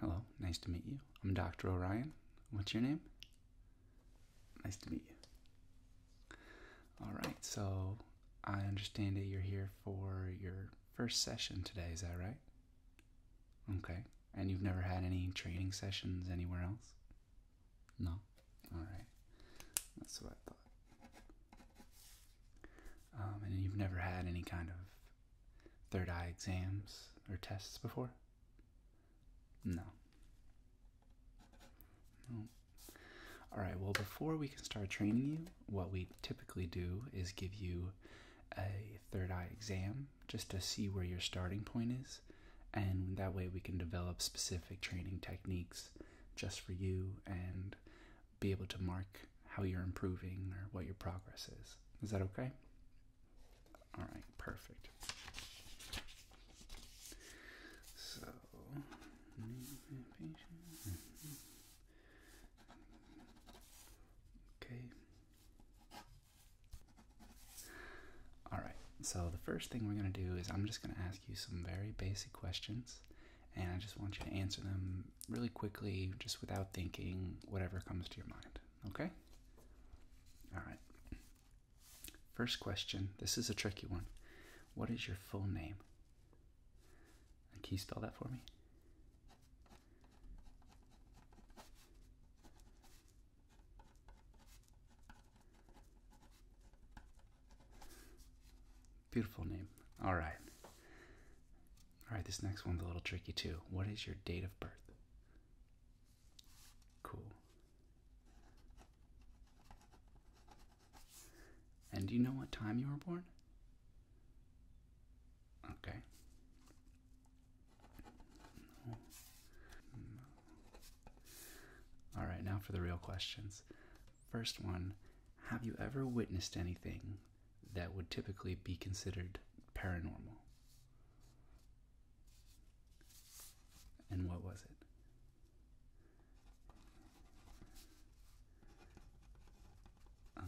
Hello, nice to meet you. I'm Dr. Orion. What's your name? Nice to meet you. All right, so I understand that you're here for your first session today, is that right? Okay, and you've never had any training sessions anywhere else? No? All right, that's what I thought. Um, and you've never had any kind of third eye exams or tests before? No. No. All right, well, before we can start training you, what we typically do is give you a third eye exam just to see where your starting point is. And that way we can develop specific training techniques just for you and be able to mark how you're improving or what your progress is. Is that okay? All right, perfect. So, okay. All right, so the first thing we're going to do is I'm just going to ask you some very basic questions, and I just want you to answer them really quickly, just without thinking, whatever comes to your mind okay? All right. First question. This is a tricky one. What is your full name? And can you spell that for me? Beautiful name. All right. All right, this next one's a little tricky too. What is your date of birth? Cool. And do you know what time you were born? Okay. All right, now for the real questions. First one Have you ever witnessed anything that would typically be considered paranormal. And what was it?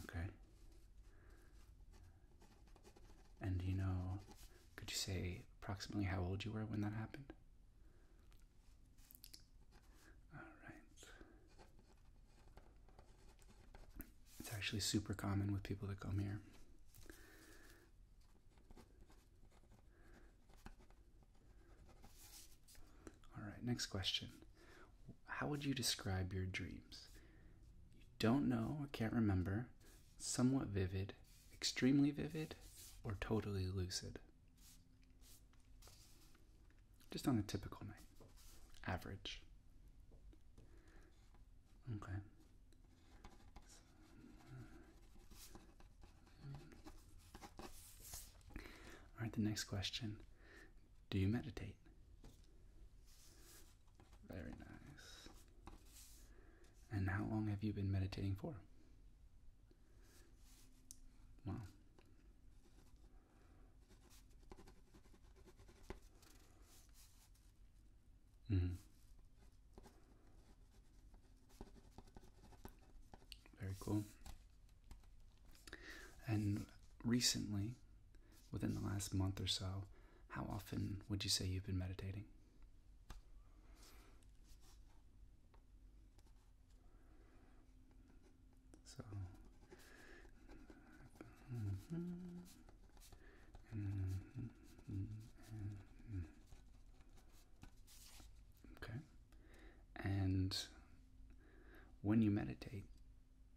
Okay. And you know, could you say approximately how old you were when that happened? All right. It's actually super common with people that come here. All right, next question. How would you describe your dreams? You don't know or can't remember, somewhat vivid, extremely vivid, or totally lucid? Just on a typical night. Average. Okay. All right, the next question Do you meditate? Very nice. And how long have you been meditating for? Wow. Mm. Very cool. And recently, within the last month or so, how often would you say you've been meditating? So, Okay. And when you meditate,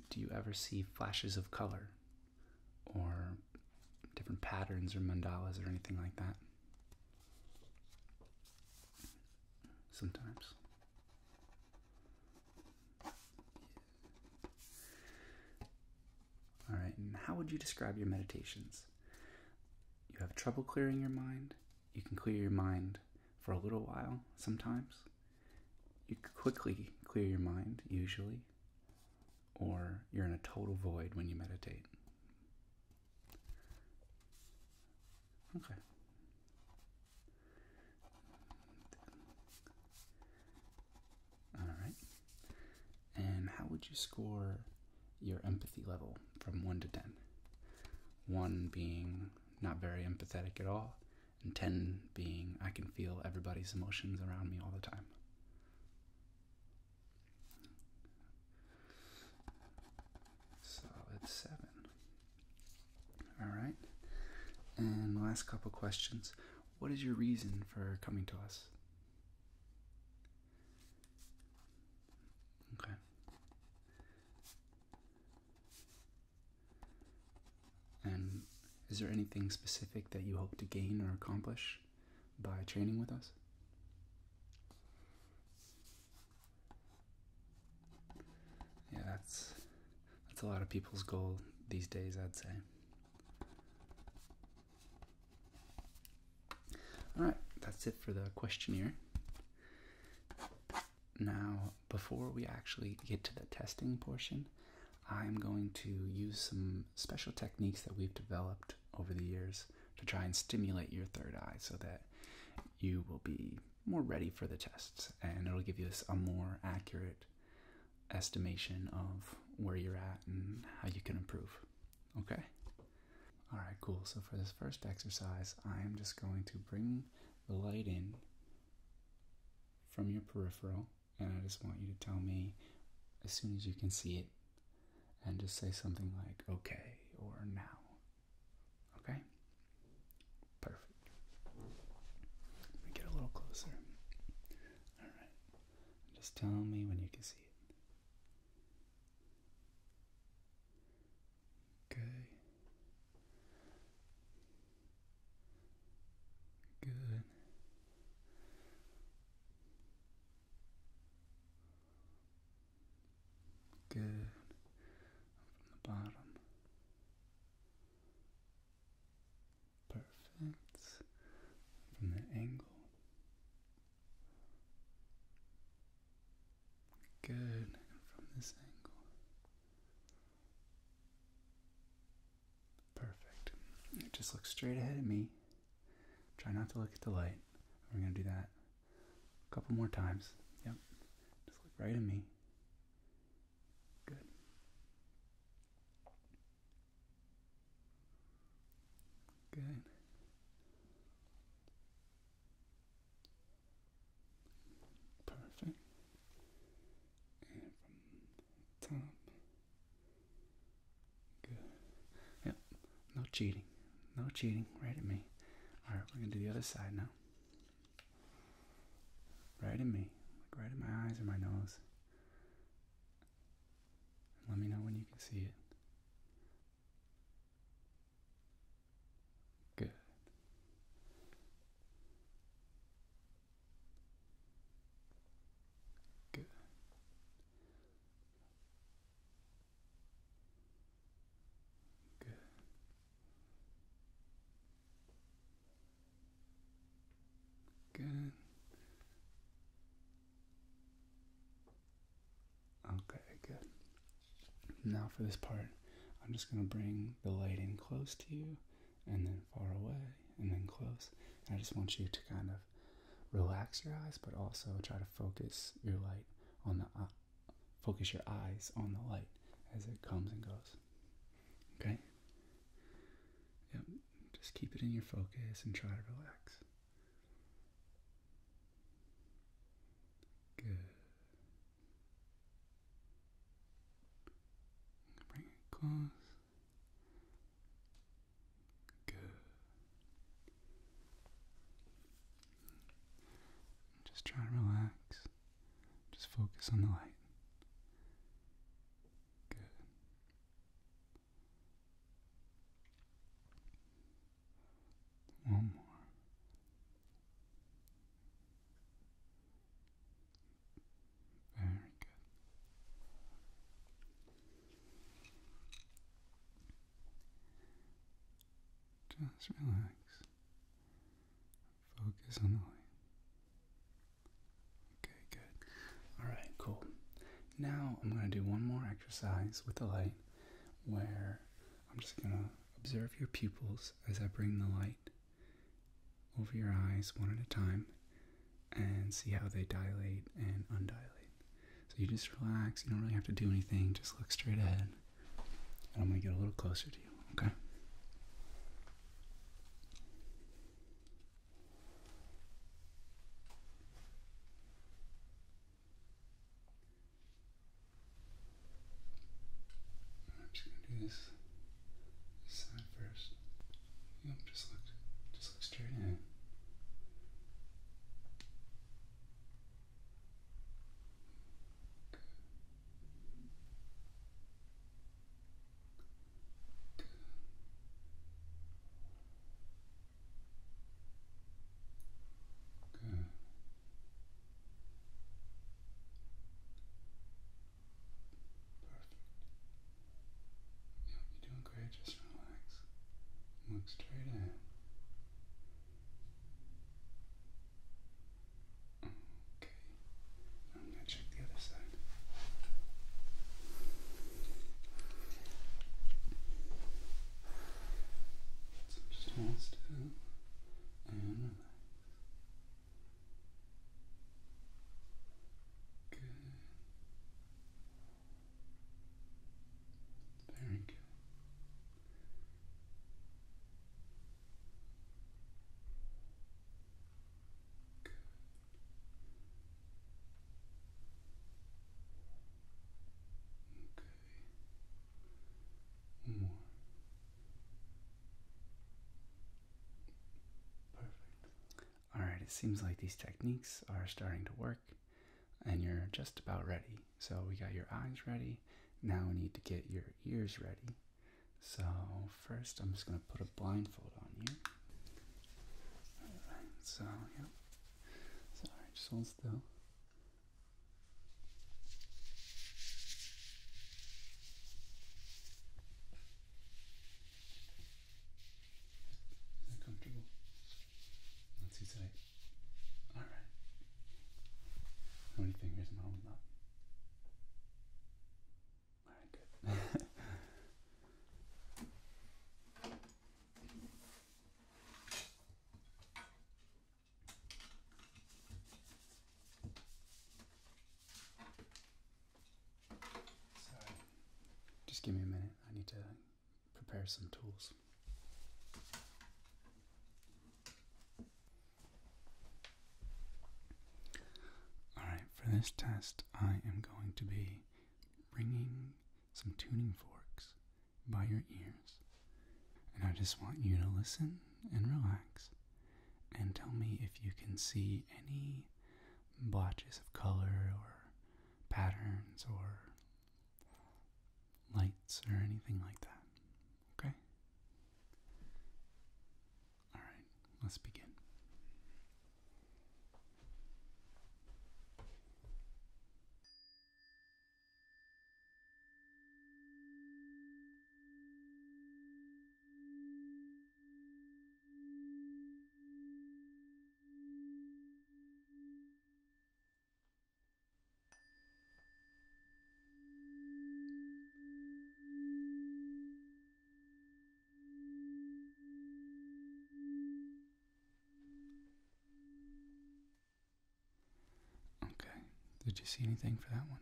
do you ever see flashes of color or different patterns or mandalas or anything like that? Sometimes. All right, how would you describe your meditations? You have trouble clearing your mind. You can clear your mind for a little while sometimes. You quickly clear your mind, usually, or you're in a total void when you meditate. Okay. All right. And how would you score your empathy level from 1 to 10? 1 being not very empathetic at all, and 10 being I can feel everybody's emotions around me all the time. So it's 7. All right. And last couple questions. What is your reason for coming to us? Okay. And is there anything specific that you hope to gain or accomplish by training with us? Yeah, that's that's a lot of people's goal these days, I'd say. Alright, that's it for the questionnaire. Now, before we actually get to the testing portion, I'm going to use some special techniques that we've developed over the years to try and stimulate your third eye so that you will be more ready for the tests and it'll give us a more accurate estimation of where you're at and how you can improve. Okay? Alright, cool. So for this first exercise, I am just going to bring the light in from your peripheral, and I just want you to tell me as soon as you can see it, and just say something like, okay, or now. Okay? Perfect. Let me get a little closer. Alright. Just tell me when you can see it. Okay. Good. Good. From the bottom. Perfect. From the angle. Good. from this angle. Perfect. Just look straight ahead at me. Try not to look at the light. We're going to do that a couple more times. Yep. Just look right at me. Good. Good. Perfect. And from top. Good. Yep. No cheating. No cheating. Right at me. Alright, we're gonna do the other side now right in me, like right in my eyes or my nose. let me know when you can see it. Good. Good. Good. Good. Okay, good. Now for this part, I'm just going to bring the light in close to you and then far away and then close. I just want you to kind of relax your eyes, but also try to focus your light on the Focus your eyes on the light as it comes and goes. Okay? Yep. Just keep it in your focus and try to relax. Good. Bring it close. Good. Just try to relax. Just focus on the light. Good. One more. Very good. Just relax. Focus on the light. Okay, good. All right, cool. Now I'm going to do one more exercise with the light where I'm just going to observe your pupils as I bring the light over your eyes one at a time and see how they dilate and undilate. So you just relax, you don't really have to do anything, just look straight ahead. I'm going to get a little closer to you, okay? I'm just gonna do this, side first. You know, just look, just look straight in. Good. Good. Good. Perfect. Yeah, you're doing great. Just relax. Look straight ahead. Okay. I'm gonna check the other side. So just and Good. Very good. Good. Okay. more. Perfect. All right, it seems like these techniques are starting to work and you're just about ready. So we got your eyes ready. Now we need to get your ears ready. So first I'm just going to put a blindfold on you. Alright, so yeah. Sorry, just hold still. Comfortable. Not too tight. Alright. How fingers am I Just give me a minute. I need to prepare some tools. Alright, for this test, I am going to be bringing some tuning forks by your ears. And I just want you to listen and relax and tell me if you can see any blotches of color or patterns or lights or anything like that. Okay? All right, let's begin. Okay, did you see anything for that one?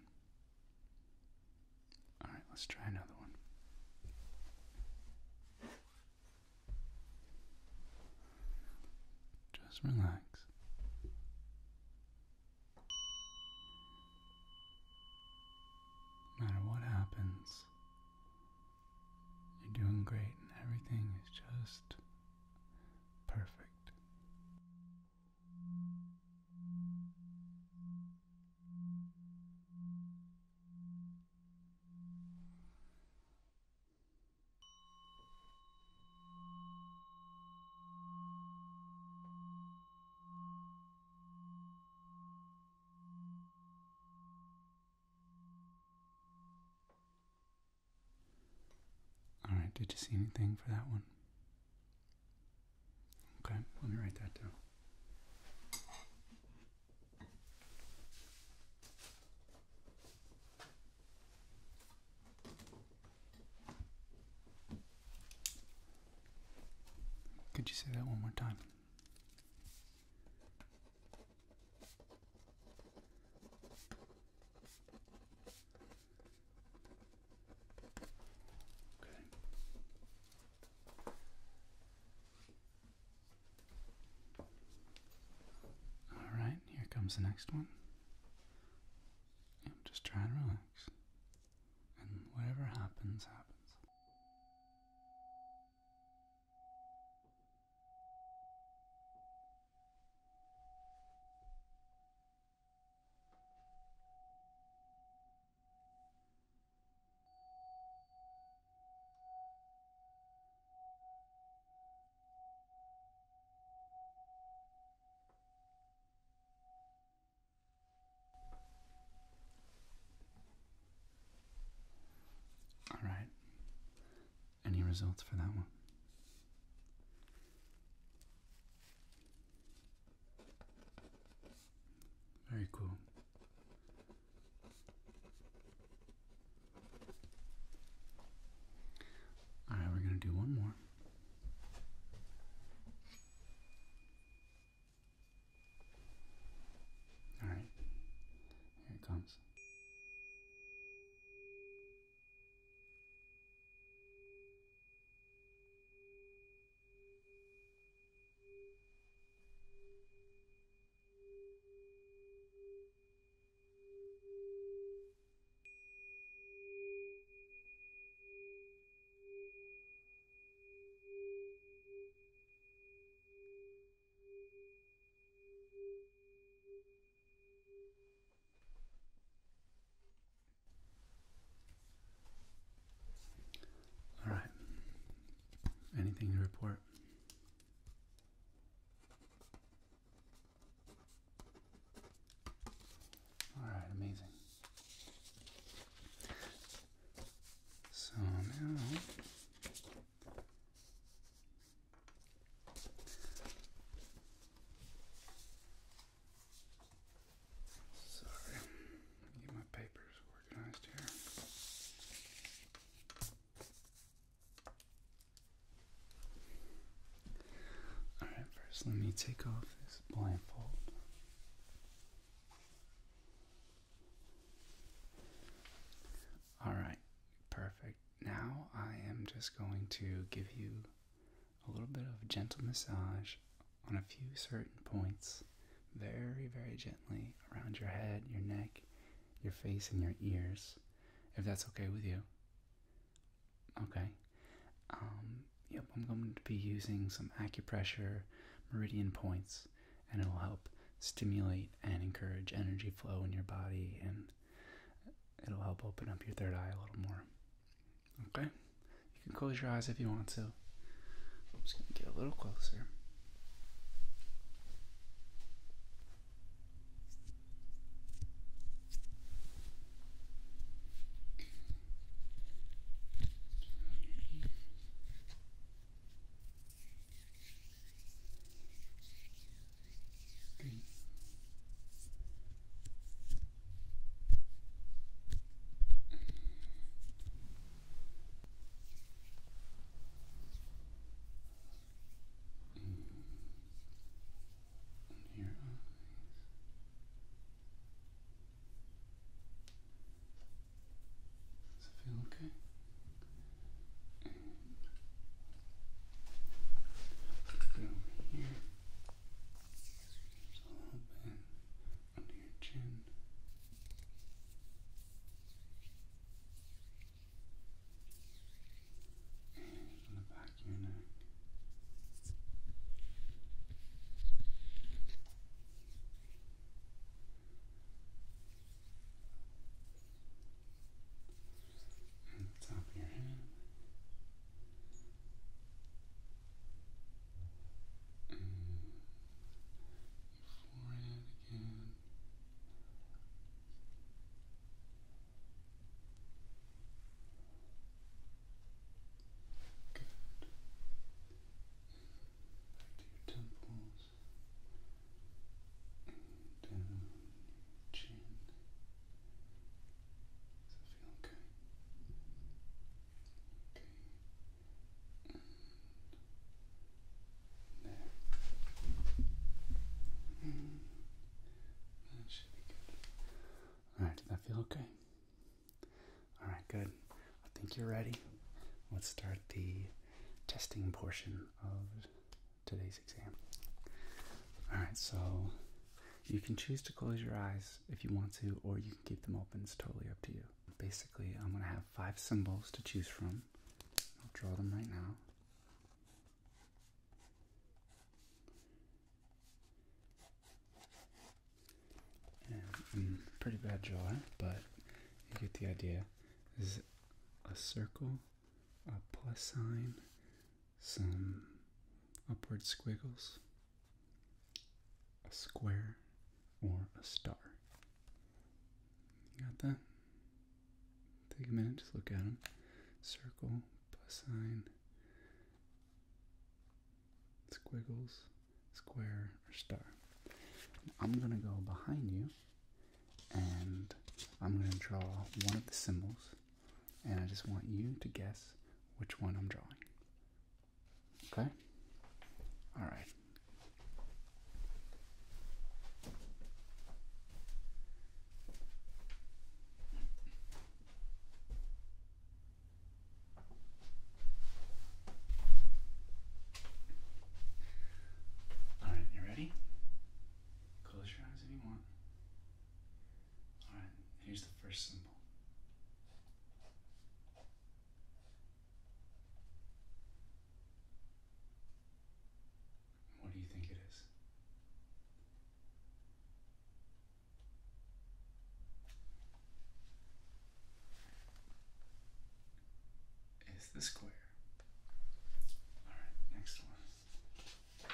Alright, let's try another one. Just relax. No matter what happens, you're doing great and everything is just perfect. All right, did you see anything for that one? Okay, let me write that down. Could you say that one more time? Okay. All right, here comes the next one. just try and relax and whatever happens, happens. All right. Any results for that one? Very cool. All right, we're going to do one more. Alright, here it comes. All right. Anything to report? All right, amazing. So now Sorry, get my papers organized here. All right, first let me take off this blindfold. All right, perfect. Now I am just going to give you a little bit of gentle massage on a few certain points, very, very gently around your head, your neck, your face, and your ears, if that's okay with you. Okay. Um, I'm going to be using some acupressure meridian points, and it'll help stimulate and encourage energy flow in your body, and it'll help open up your third eye a little more. Okay, you can close your eyes if you want to. I'm just going to get a little closer. Green. And your eyes. Does it feel okay? And over here. Just a little bit under your chin. And on the back of your neck. And the top of your head. Mm. forehead again. Good. Back to your temples. And down your chin. Does that feel okay? Okay. there. That should be good. Alright, does that feel okay? All right, good. I think you're ready. Let's start the testing portion of today's exam. All right, so you can choose to close your eyes if you want to, or you can keep them open. It's totally up to you. Basically, I'm going to have five symbols to choose from. I'll draw them right now. Mm, pretty bad drawing, but you get the idea. is a circle, a plus sign, some upward squiggles, a square, or a star. got that? Take a minute, just look at them. Circle, plus sign, squiggles, square, or star. I'm going to go behind you and I'm going to draw one of the symbols and I just want you to guess which one I'm drawing. Okay? All right. Alright, you ready? Close your eyes if you want. Alright, here's the first symbol. What do you think it is? is the square. All right, next one.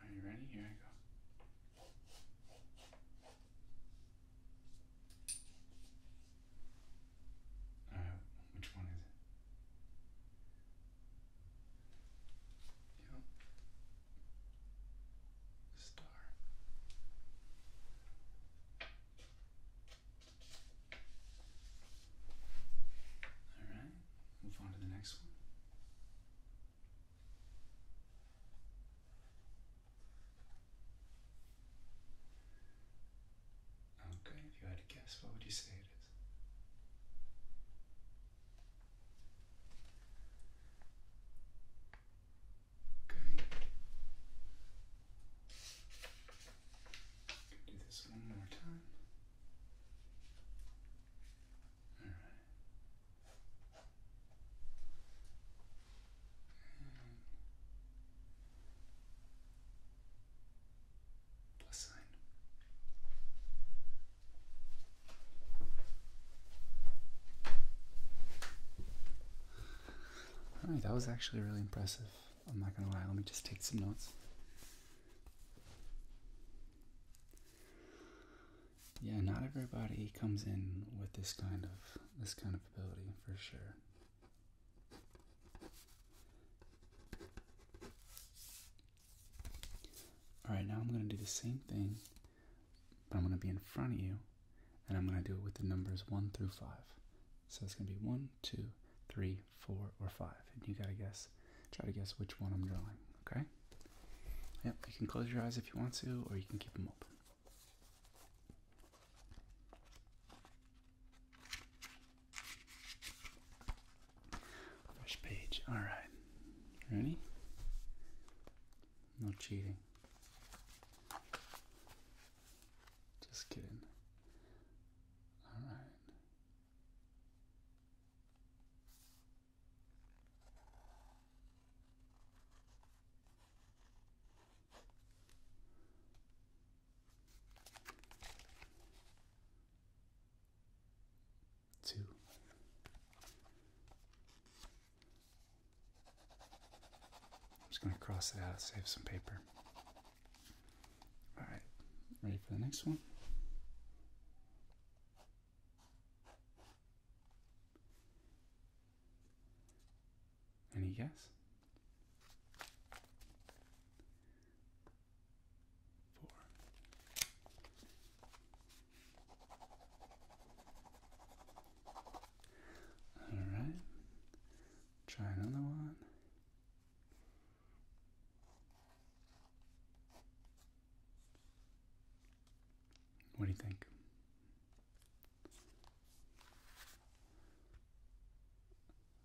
Are you ready? Here I go. Uh, which one is it? Star. All right. Move on to the next one. Okay, if you had a guess, what would you say it is? Okay. Do this one more time. All right. All right, that was actually really impressive. I'm not gonna lie. Let me just take some notes. Yeah, not everybody comes in with this kind of this kind of ability for sure. All right, now I'm going to do the same thing, but I'm going to be in front of you, and I'm going to do it with the numbers 1 through 5. So it's going to be 1, 2, 3, 4, or 5. And you got to guess, try to guess which one I'm drawing, okay? Yep, you can close your eyes if you want to, or you can keep them open page. All right. Ready? No cheating. Just kidding. All right. Two. I'm just going to cross it out, save some paper. All right, ready for the next one? Any guess? Four. Alright. Try another one. What do you think?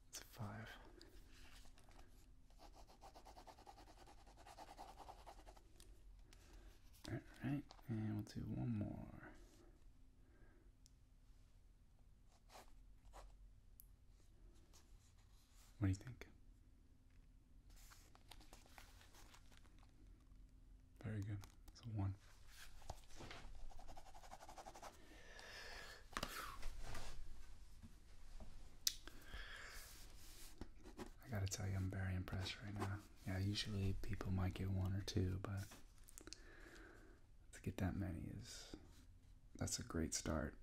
It's five. All right, and we'll do one more. What do you think? Very good. It's a one. I gotta tell you, I'm very impressed right now. Yeah, usually people might get one or two, but to get that many is that's a great start.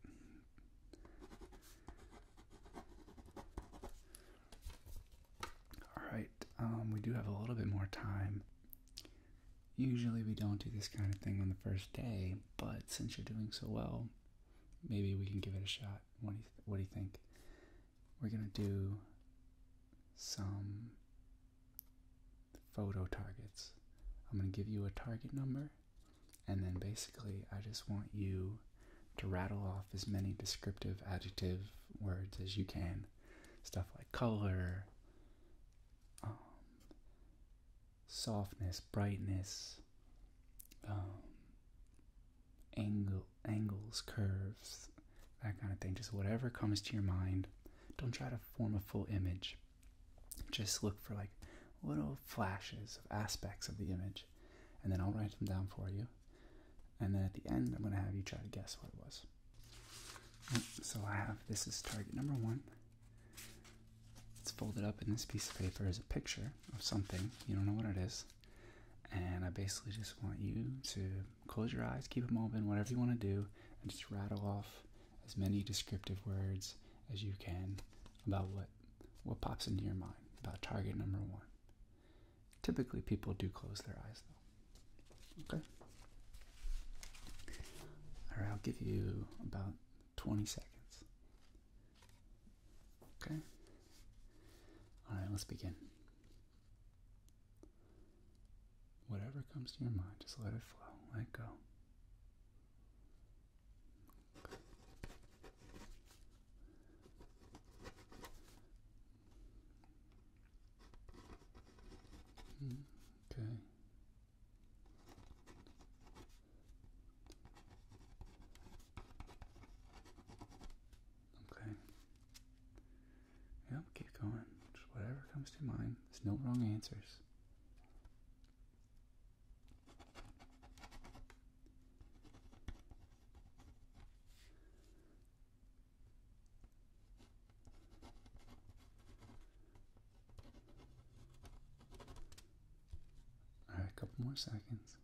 All right, um, we do have a little bit more time. Usually we don't do this kind of thing on the first day, but since you're doing so well, maybe we can give it a shot. what do you think? We're gonna do some photo targets. I'm gonna give you a target number, and then basically I just want you to rattle off as many descriptive adjective words as you can stuff like color, um, softness, brightness, um, angle, angles, curves, that kind of thing. Just whatever comes to your mind. Don't try to form a full image. Just look for like little flashes of aspects of the image, and then I'll write them down for you. And then at the end, I'm going to have you try to guess what it was. Oh, so I have this is target number one. It's folded up in this piece of paper is a picture of something. You don't know what it is. And I basically just want you to close your eyes, keep them open, whatever you want to do, and just rattle off as many descriptive words as you can about what what pops into your mind about target number one. Typically, people do close their eyes though. Okay? Alright, I'll give you about 20 seconds. Okay? Alright, let's begin. Whatever comes to your mind, just let it flow, let go okay. Okay. Yep, keep going. Just whatever comes to mind. There's no wrong answers. All right, a couple more seconds.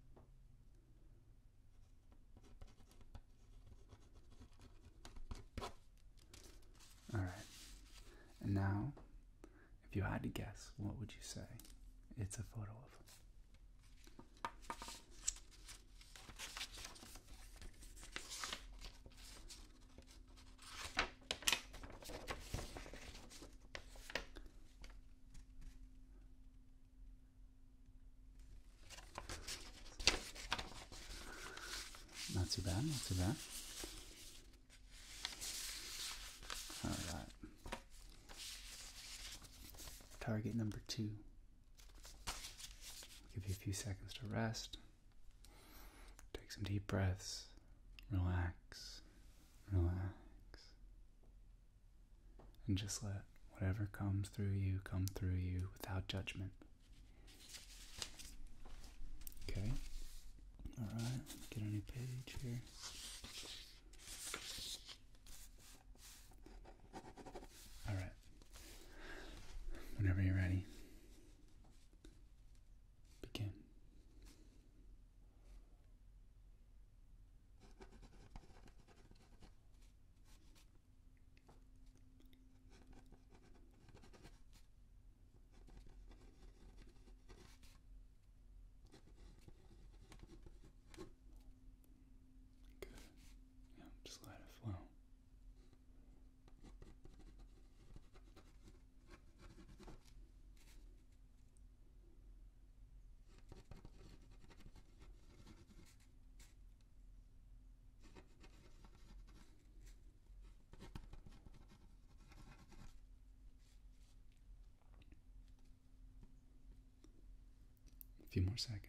All right. And now, if you had to guess, what would you say it's a photo of? Not too bad, not too bad. All right. Target number two Give you a few seconds to rest. Take some deep breaths. Relax. Relax. And just let whatever comes through you come through you without judgment. Okay? Alright, let's get a new page here. All right. Whenever you're ready, begin. Good. just let it flow. A few more seconds.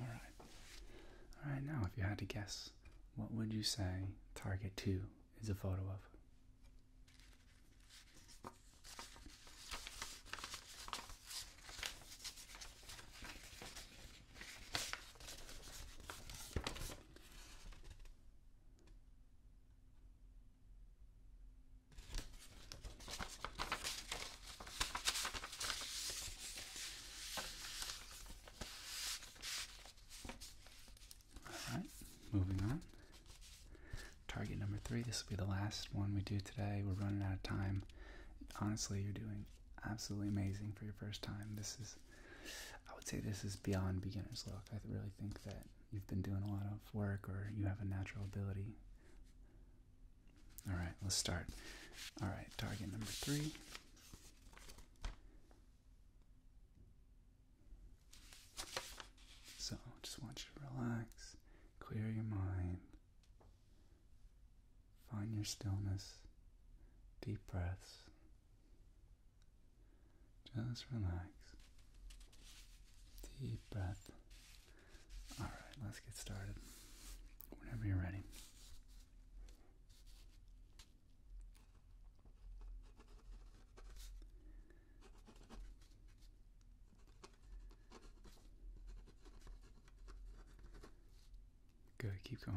All right. All right, now if you had to guess, what would you say target 2 is a photo of? All right, moving on. Target number three. This will be the last one we do today. We're running out of time. Honestly, you're doing absolutely amazing for your first time. This is, I would say, this is beyond beginner's luck. I really think that you've been doing a lot of work or you have a natural ability. All right, let's start. All right, target number three. So, just want you to relax, clear your mind, find your stillness, deep breaths. Just relax. Deep breath. Alright, let's get started. Whenever you're ready. Good, keep going.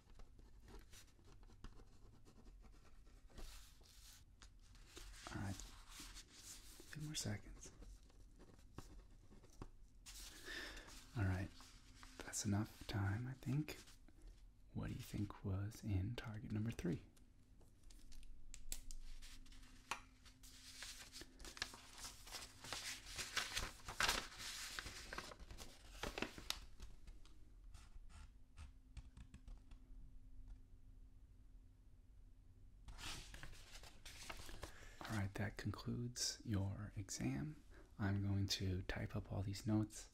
All right, few more seconds. All right, that's enough time, I think. What do you think was in target number three? All right, that concludes your exam. I'm going to type up all these notes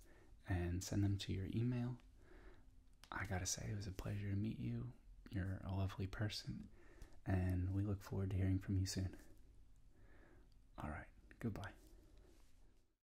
and send them to your email. I gotta say, it was a pleasure to meet you. You're a lovely person, and we look forward to hearing from you soon. All right, goodbye.